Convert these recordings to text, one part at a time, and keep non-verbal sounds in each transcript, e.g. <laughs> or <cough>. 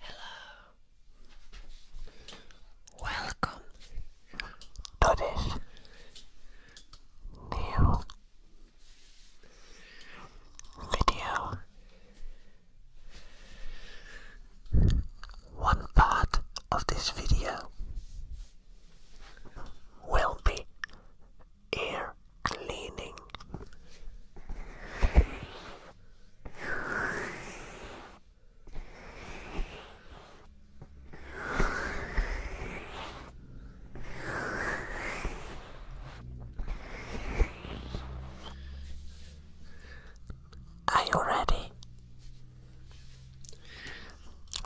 Hello. Welcome to this new video. One part of this video will be ear cleaning. Are you ready?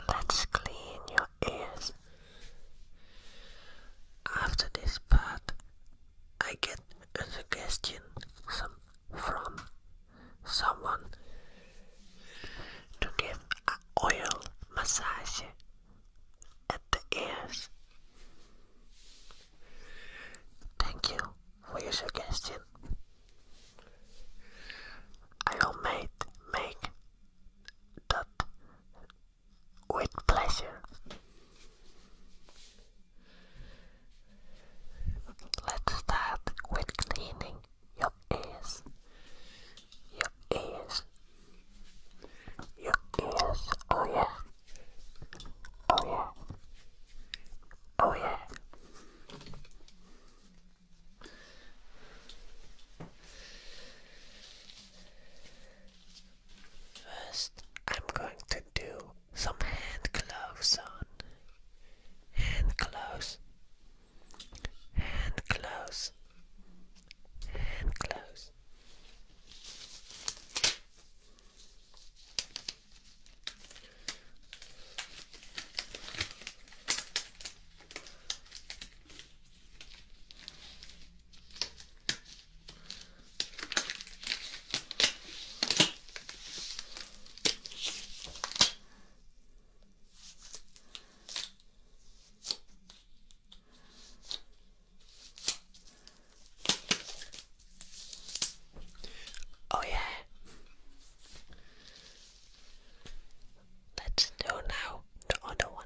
Let's clean your ears. After this part, I get a suggestion from someone to give oil massage at the ears. Thank you for your suggestion. I will make, make that with pleasure. Let's start with cleaning your ears. Your ears. Your ears. Oh yeah. Oh yeah. Oh yeah. First, I'm going to do some hand gloves on. Hand gloves. Hand gloves. Hand gloves. Oh, yeah. Let's do now the other one.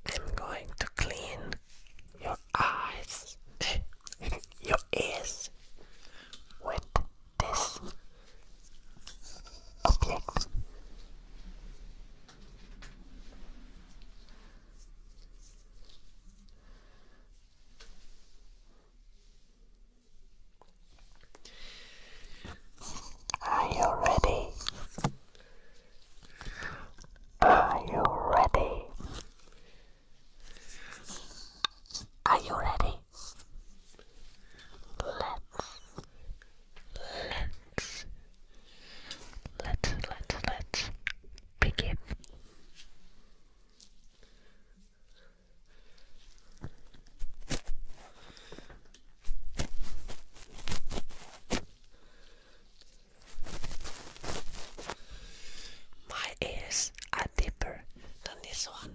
I'm going to clean your eyes, <laughs> your ears with this object. Are you ready? Are you ready? Are you ready? Let's, let's, let let let begin. My ears are deeper than this one.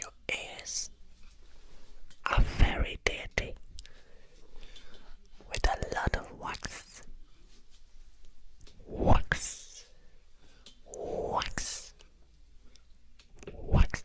Your ears are very dirty with a lot of wax. Wax. Wax. Wax.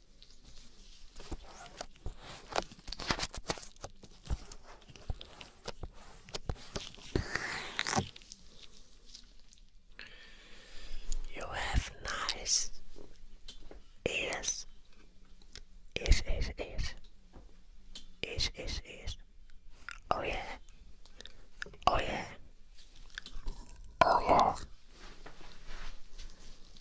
You have nice ears. Ears, ears, ears. Ears, ears, ears. Oh yeah. Oh yeah. Oh yeah.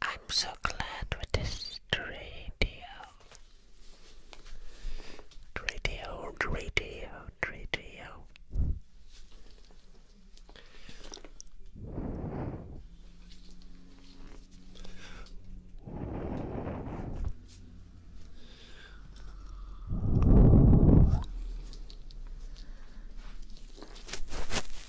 I'm so glad with this radio. Radio, radio, radio.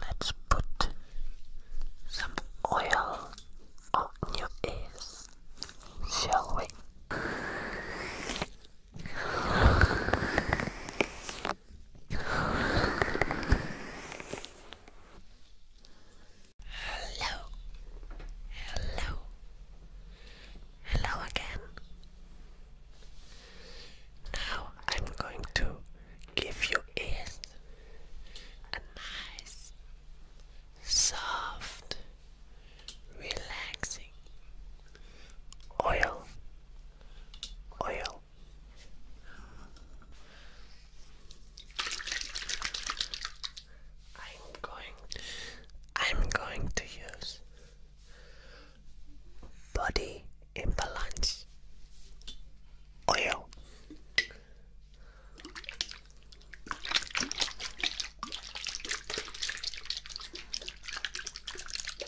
Let's put some oil on your ears, shall we? Hello. Hello. Hello again. Now I'm going to give you a nice, soft, relaxing oil. Oil. I'm going I'm going to use body imbalance oil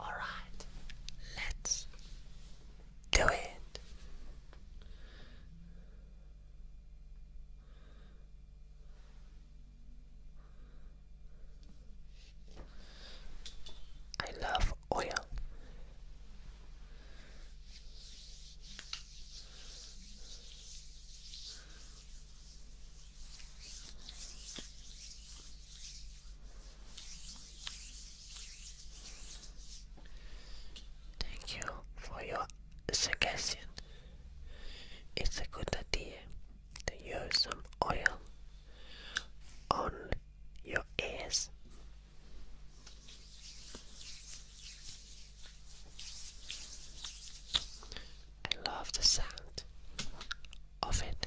All right, let's do it. I love oil. Thank you for your suggestion. It's a good idea to use some oil on your ears. I love the sound of it.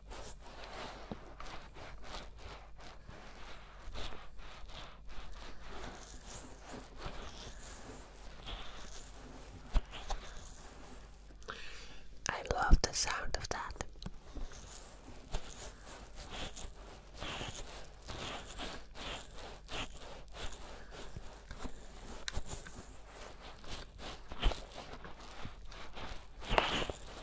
I love the sound of that.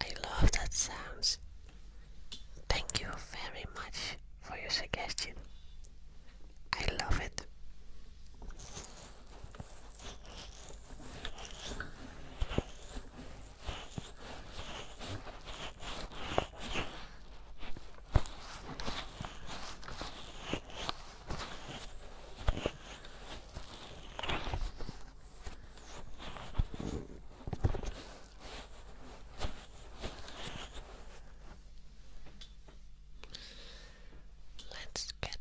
I love that sounds. Thank you very much for your suggestion. I love it. Let's get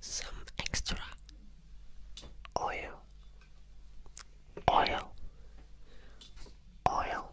some extra oil, oil, oil.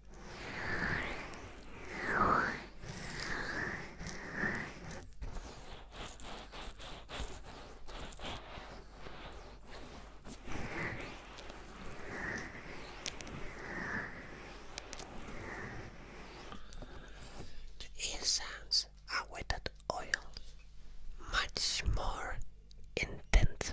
The incense are wetted oil, much more intense.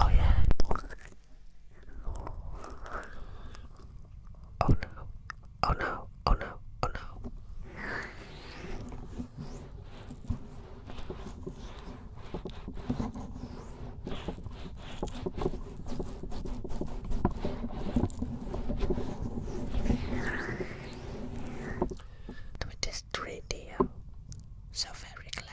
Oh yeah. Oh no. Oh no. Oh no. Oh no. Do this 3D so very close.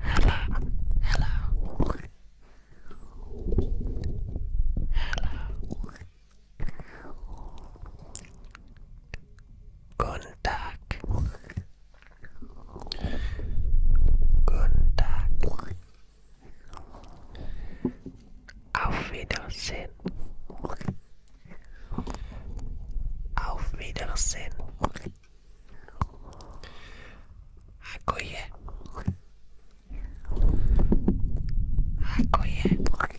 Hello. Hello. Hello. Guten Tag. Guten Tag. Auf Wiedersehen. Auf Wiedersehen. Hakoye. Hakoye.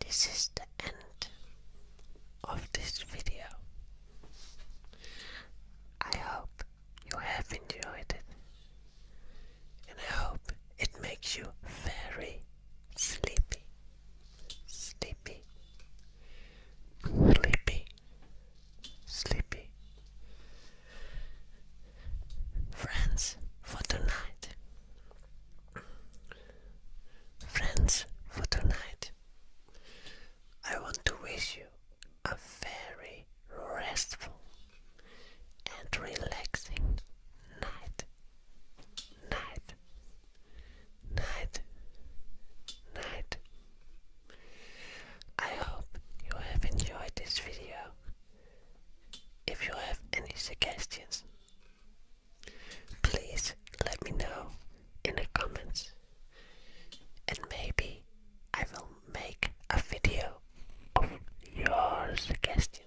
This is the end of this video. I hope you have enjoyed it, and I hope it makes you very sleepy sleepy, sleepy, sleepy. Friends for tonight. Friends for tonight. I want to wish you a very restful and relaxing night. Night night, night, I hope you have enjoyed this video. If you have any suggestions, please let me know in the comments and maybe I will make a video of your suggestion.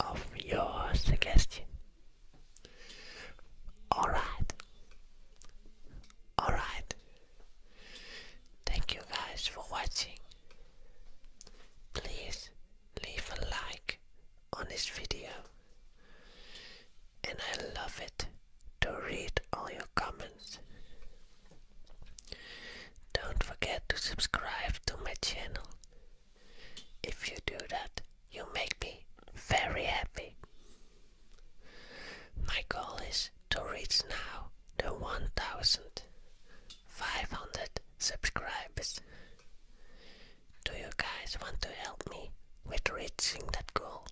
Of your suggestion. Alright. Alright. Thank you guys for watching. Please leave a like on this video. And I love it to read all your comments. Don't forget to subscribe to my channel. If you do that, you make me very happy. My goal is to reach now the 1500 subscribers. Do you guys want to help me with reaching that goal?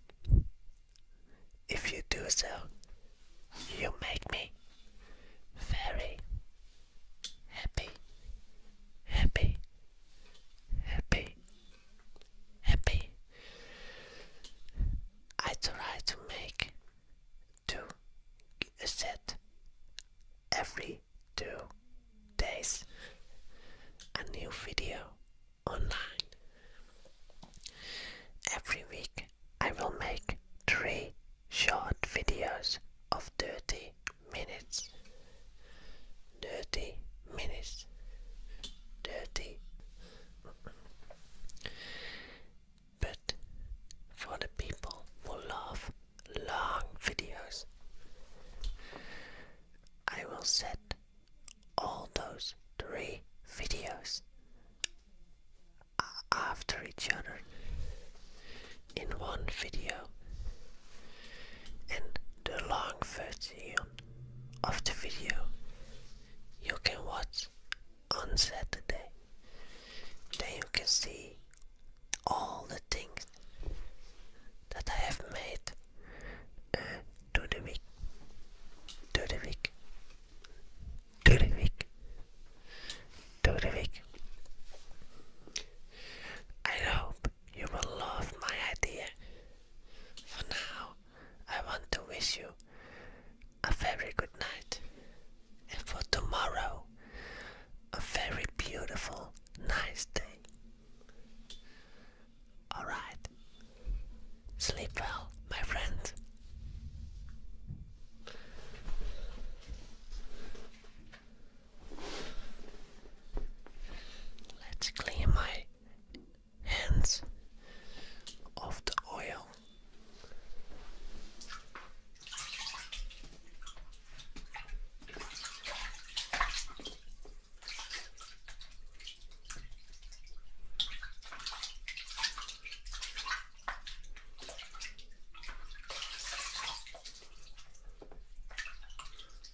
If you do so, you make me very happy, happy, happy, happy. I try to make two set every two days a new video online. Every week I will make three short videos of dirty minutes, thirty minutes, thirty. But for the people who love long videos, I will set all those three videos after each other in one video, and the long first museum of the video you can watch on Saturday. Then you can see all the things that I have made during uh, the week, during the week, during the week, the week. I hope you will love my idea for now, I want to wish you a very good night, and for tomorrow, a very beautiful, nice day. Alright, sleep well, my friend. Let's clean my hands of the oil.